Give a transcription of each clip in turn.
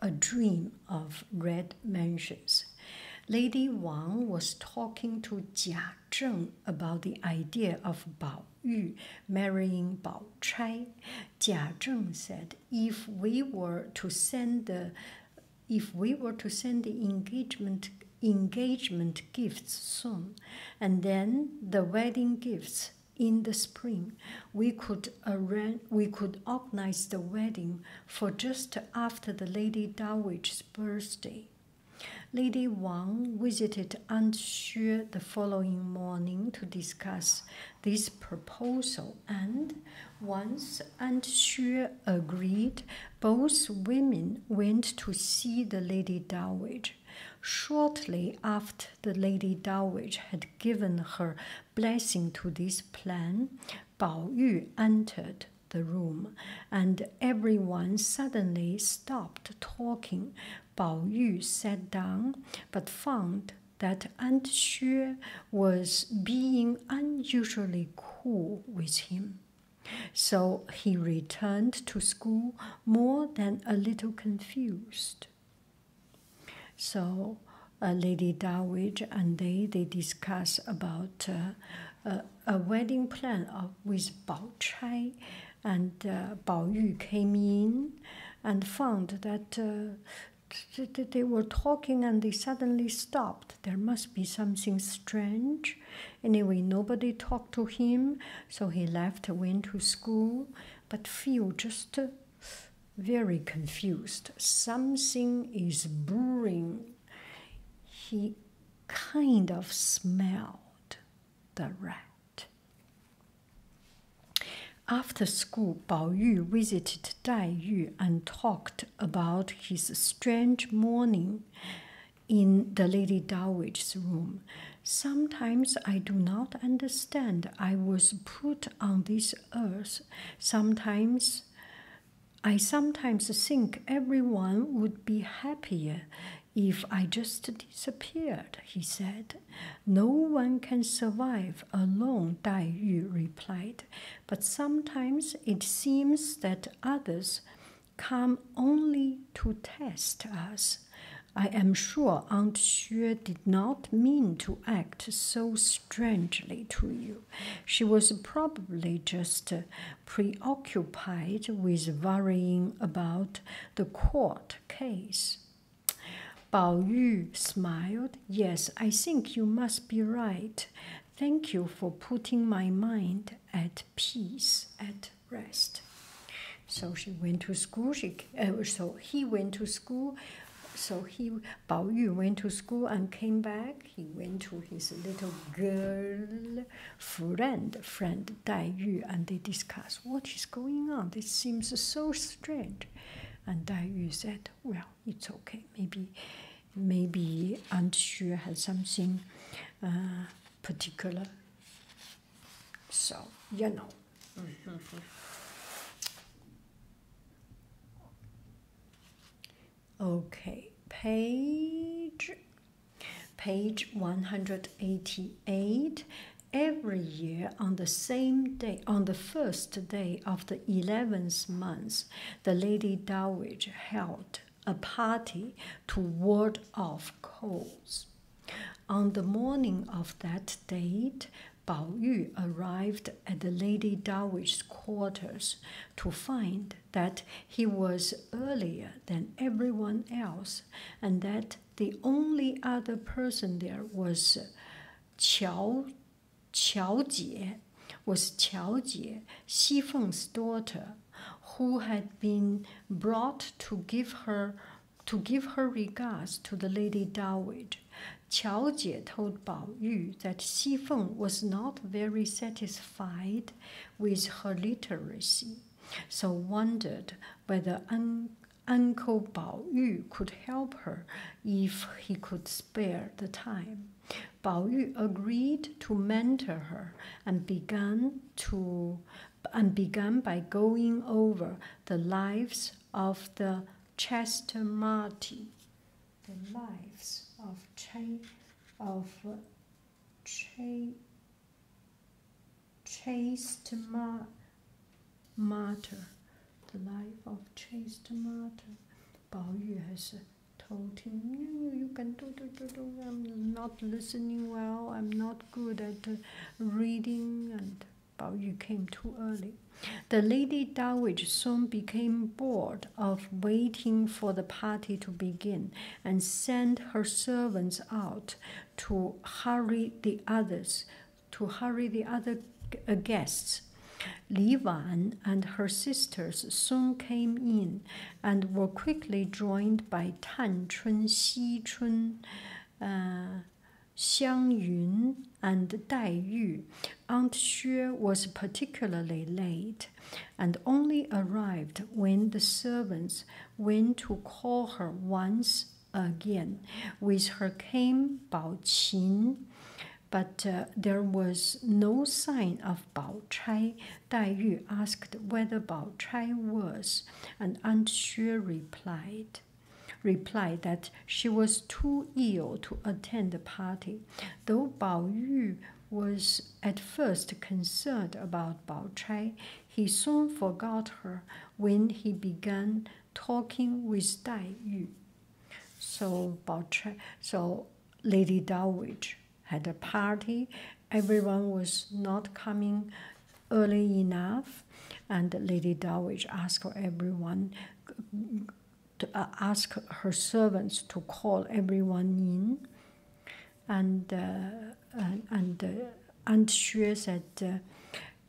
A Dream of Red Mansions. Lady Wang was talking to Jia Zheng about the idea of Bao Yu marrying Bao Chai. Jia Zheng said, "If we were to send the, if we were to send the engagement engagement gifts soon, and then the wedding gifts in the spring, we could arrange, we could organize the wedding for just after the Lady Dowager's birthday. Lady Wang visited Aunt Xue the following morning to discuss this proposal, and once Aunt Xue agreed, both women went to see the Lady Dowager. Shortly after the Lady Dowager had given her Blessing to this plan, Bao Yu entered the room, and everyone suddenly stopped talking. Bao Yu sat down, but found that Aunt Xue was being unusually cool with him. So he returned to school more than a little confused. So uh, Lady Dawidge and they they discuss about uh, uh, a wedding plan with Bao Chai, and uh, Bao Yu came in and found that. Uh, they were talking and they suddenly stopped. There must be something strange. Anyway, nobody talked to him, so he left, went to school. But Phil just very confused. Something is brewing. He kind of smelled the rat. After school, Bao Yu visited Dai Yu and talked about his strange morning in the Lady Dowager's room. Sometimes I do not understand. I was put on this earth, sometimes I sometimes think everyone would be happier if I just disappeared, he said. No one can survive alone, Dai Yu replied, but sometimes it seems that others come only to test us. I am sure Aunt Xue did not mean to act so strangely to you. She was probably just uh, preoccupied with worrying about the court case. Bao Yu smiled. Yes, I think you must be right. Thank you for putting my mind at peace, at rest. So she went to school. Uh, so he went to school. So he Bao Yu went to school and came back. He went to his little girl friend, friend Dai Yu, and they discussed what is going on. This seems so strange. And Dai Yu said, "Well, it's okay. Maybe, maybe Aunt Xue has something uh, particular." So you know. Mm-hmm. Okay, page page 188 every year on the same day on the first day of the 11th month the lady dowager held a party to ward off colds on the morning of that date Bao Yu arrived at the Lady Dowager's quarters to find that he was earlier than everyone else and that the only other person there was Qiao, Qiao Jie, was Qiao Jie, Xi daughter, who had been brought to give her to give her regards to the Lady Dowager. Qiao Jie told Bao Yu that Xi Feng was not very satisfied with her literacy, so wondered whether un Uncle Bao Yu could help her if he could spare the time. Bao Yu agreed to mentor her and began to and began by going over the lives of the Chester Marty, the lives of Ch- of Ch- chaste Mar- martyr, the life of chaste martyr. Bao Yu has told him, you, you can do, do, do, do. I'm not listening well. I'm not good at reading and Bao Yu came too early. The lady dowager soon became bored of waiting for the party to begin and sent her servants out to hurry the others, to hurry the other guests. Li Wan and her sisters soon came in and were quickly joined by Tan Chun, Xi Chun, uh, Xiang Yun and Dai Yu, Aunt Xue was particularly late and only arrived when the servants went to call her once again. With her came Bao Qin, but uh, there was no sign of Bao Chai. Dai Yu asked whether Bao Chai was, and Aunt Xue replied, replied that she was too ill to attend the party, though Bao Yu was at first concerned about Bao Chai, he soon forgot her when he began talking with Dai Yu. So Bao so Lady Dowage had a party. Everyone was not coming early enough, and Lady Dowage asked for everyone to uh, ask her servants to call everyone in, and uh, and uh, Aunt Xue said,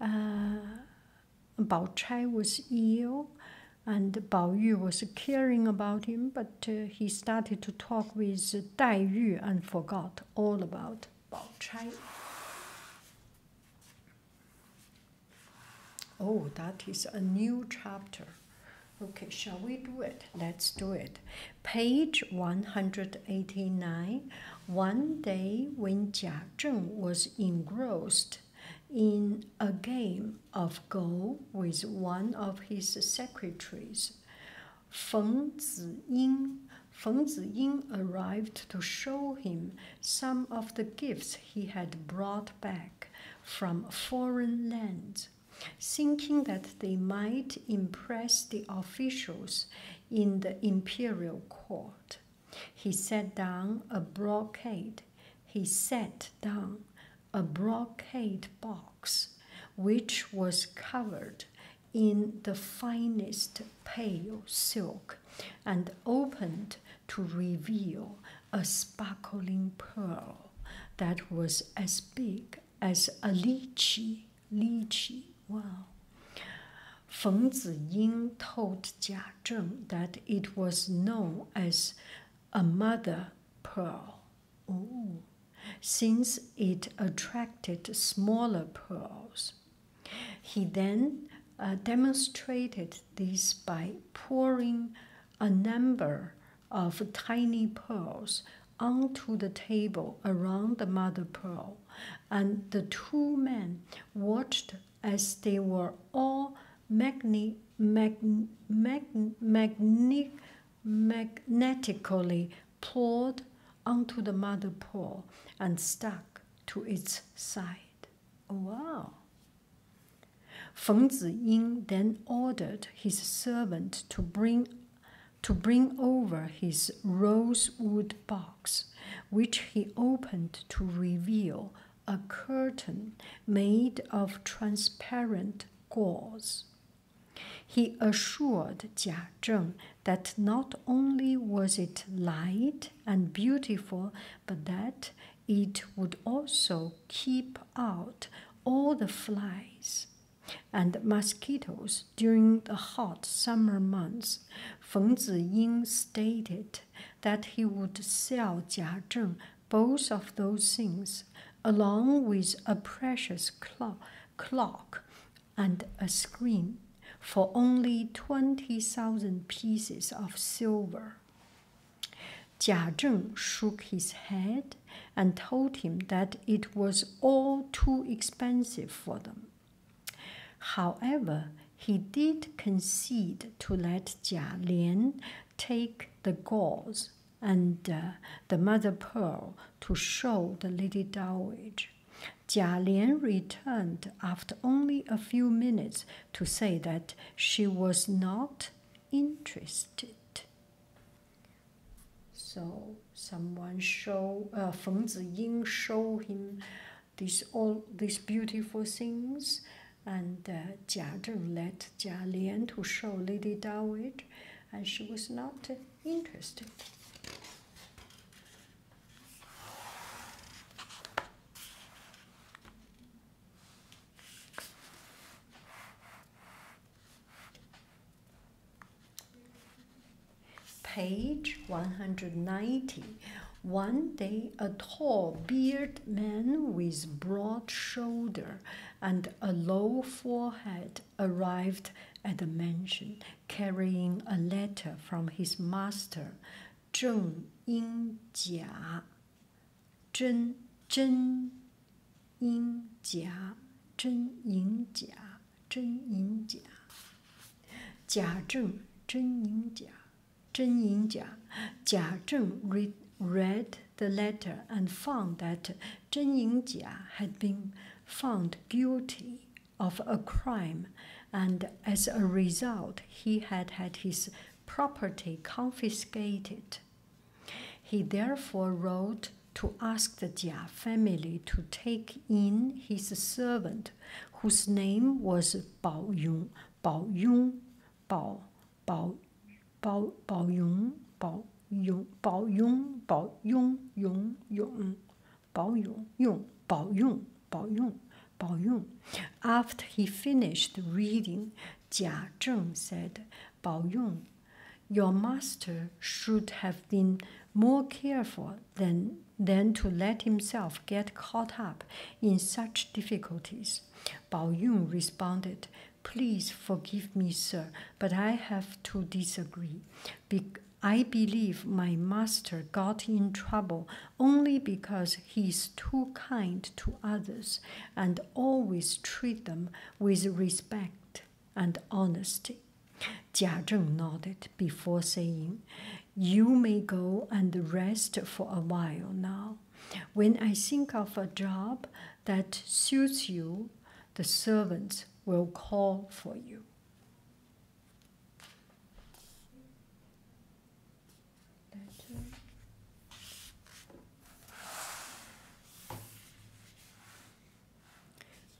uh, uh Chai was ill, and Bao Yu was caring about him, but he started to talk with Dai Yu and forgot all about Bao Chai. Oh, that is a new chapter. Okay, shall we do it? Let's do it. Page 189. One day when Jia Zheng was engrossed in a game of Go with one of his secretaries, Feng Ziying, Feng Ziying arrived to show him some of the gifts he had brought back from foreign lands, thinking that they might impress the officials in the imperial court. He set down a brocade. He set down a brocade box which was covered in the finest pale silk and opened to reveal a sparkling pearl that was as big as a lychee. Lychee, wow. Feng Ziying told Jia Zheng that it was known as a mother pearl. Since it attracted smaller pearls, he then uh, demonstrated this by pouring a number of tiny pearls onto the table around the mother pearl, and the two men watched as they were all magne magnetically pulled onto the mother pearl and stuck to its side. Wow, Feng Ziying then ordered his servant to bring, to bring over his rosewood box, which he opened to reveal a curtain made of transparent gauze. He assured Jia Zheng that not only was it light and beautiful, but that it would also keep out all the flies and mosquitoes during the hot summer months. Feng Ziying stated that he would sell Jia Zheng both of those things, along with a precious clock and a screen, for only 20,000 pieces of silver. Jia Zheng shook his head and told him that it was all too expensive for them. However, he did concede to let Jia Lian take the gauze and uh, the mother pearl to show the Lady Dowager. Jia Lian returned after only a few minutes to say that she was not interested. So someone show uh, Feng Ziying show him these all these beautiful things, and uh, Jia Zheng let Jia Lian to show Lady Dowager, and she was not interested. Page 190. One day, a tall bearded man with broad shoulder and a low forehead arrived at the mansion, carrying a letter from his master 正音甲，真真音甲，真银甲，真银甲，假正真银甲，真银甲，假正 read read the letter and found that Zhen Yingjia had been found guilty of a crime, and as a result, he had had his property confiscated. He therefore wrote to ask the Jia family to take in his servant, whose name was Bao Yong. Bao Yong, Bao, Bao, Bao, Bao Yong, Bao Yong, Bao Yong, Bao Yong, Yong, Yong, Bao Yong, Yong, Bao Yong, Bao Yong, Bao Yun. After he finished reading, Jia Zheng said, Bao Yun, your master should have been more careful than, than to let himself get caught up in such difficulties. Bao Yun responded, Please forgive me, sir, but I have to disagree. I believe my master got in trouble only because he is too kind to others and always treat them with respect and honesty. Jia Zheng nodded before saying, You may go and rest for a while now. When I think of a job that suits you, the servants will call for you letter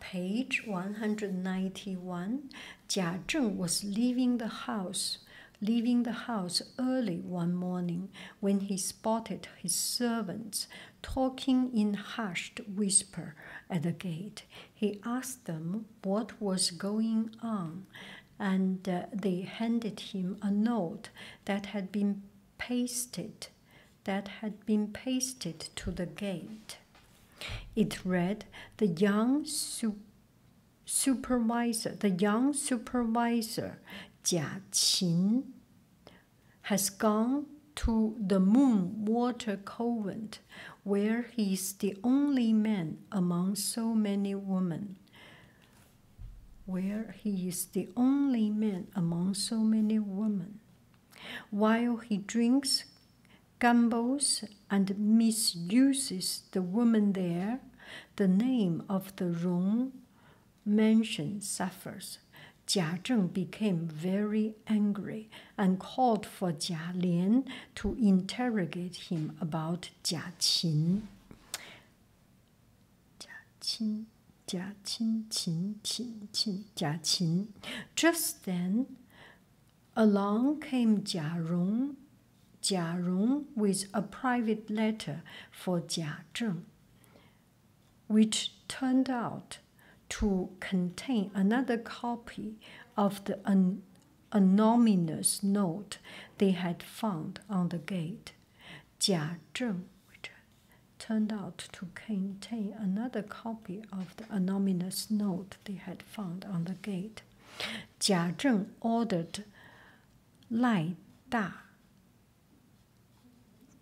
Page 191 Jia Zheng was leaving the house, leaving the house early one morning when he spotted his servants talking in hushed whisper at the gate. He asked them what was going on and uh, they handed him a note that had been pasted that had been pasted to the gate. It read the young supervisor, the young supervisor Jia Qin has gone to the moon water convent where he is the only man among so many women where he is the only man among so many women. While he drinks, gambles, and misuses the woman there, the name of the room mentioned suffers. Jia Zheng became very angry and called for Jia Lian to interrogate him about just then, along came Jia Rong, Jia Rong with a private letter for Jia Zheng, which turned out to contain another copy of the un an anonymous note they had found on the gate. Jia Zheng turned out to contain another copy of the anonymous note they had found on the gate. Jia Zheng ordered Lai Da.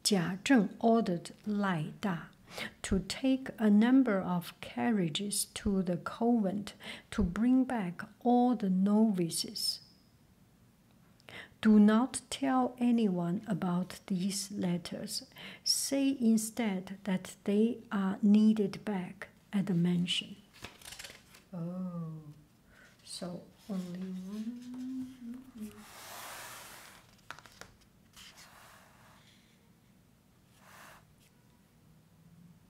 Jia Zheng ordered Lai Da to take a number of carriages to the convent to bring back all the novices. Do not tell anyone about these letters. Say instead that they are needed back at the mansion. Oh, so only one.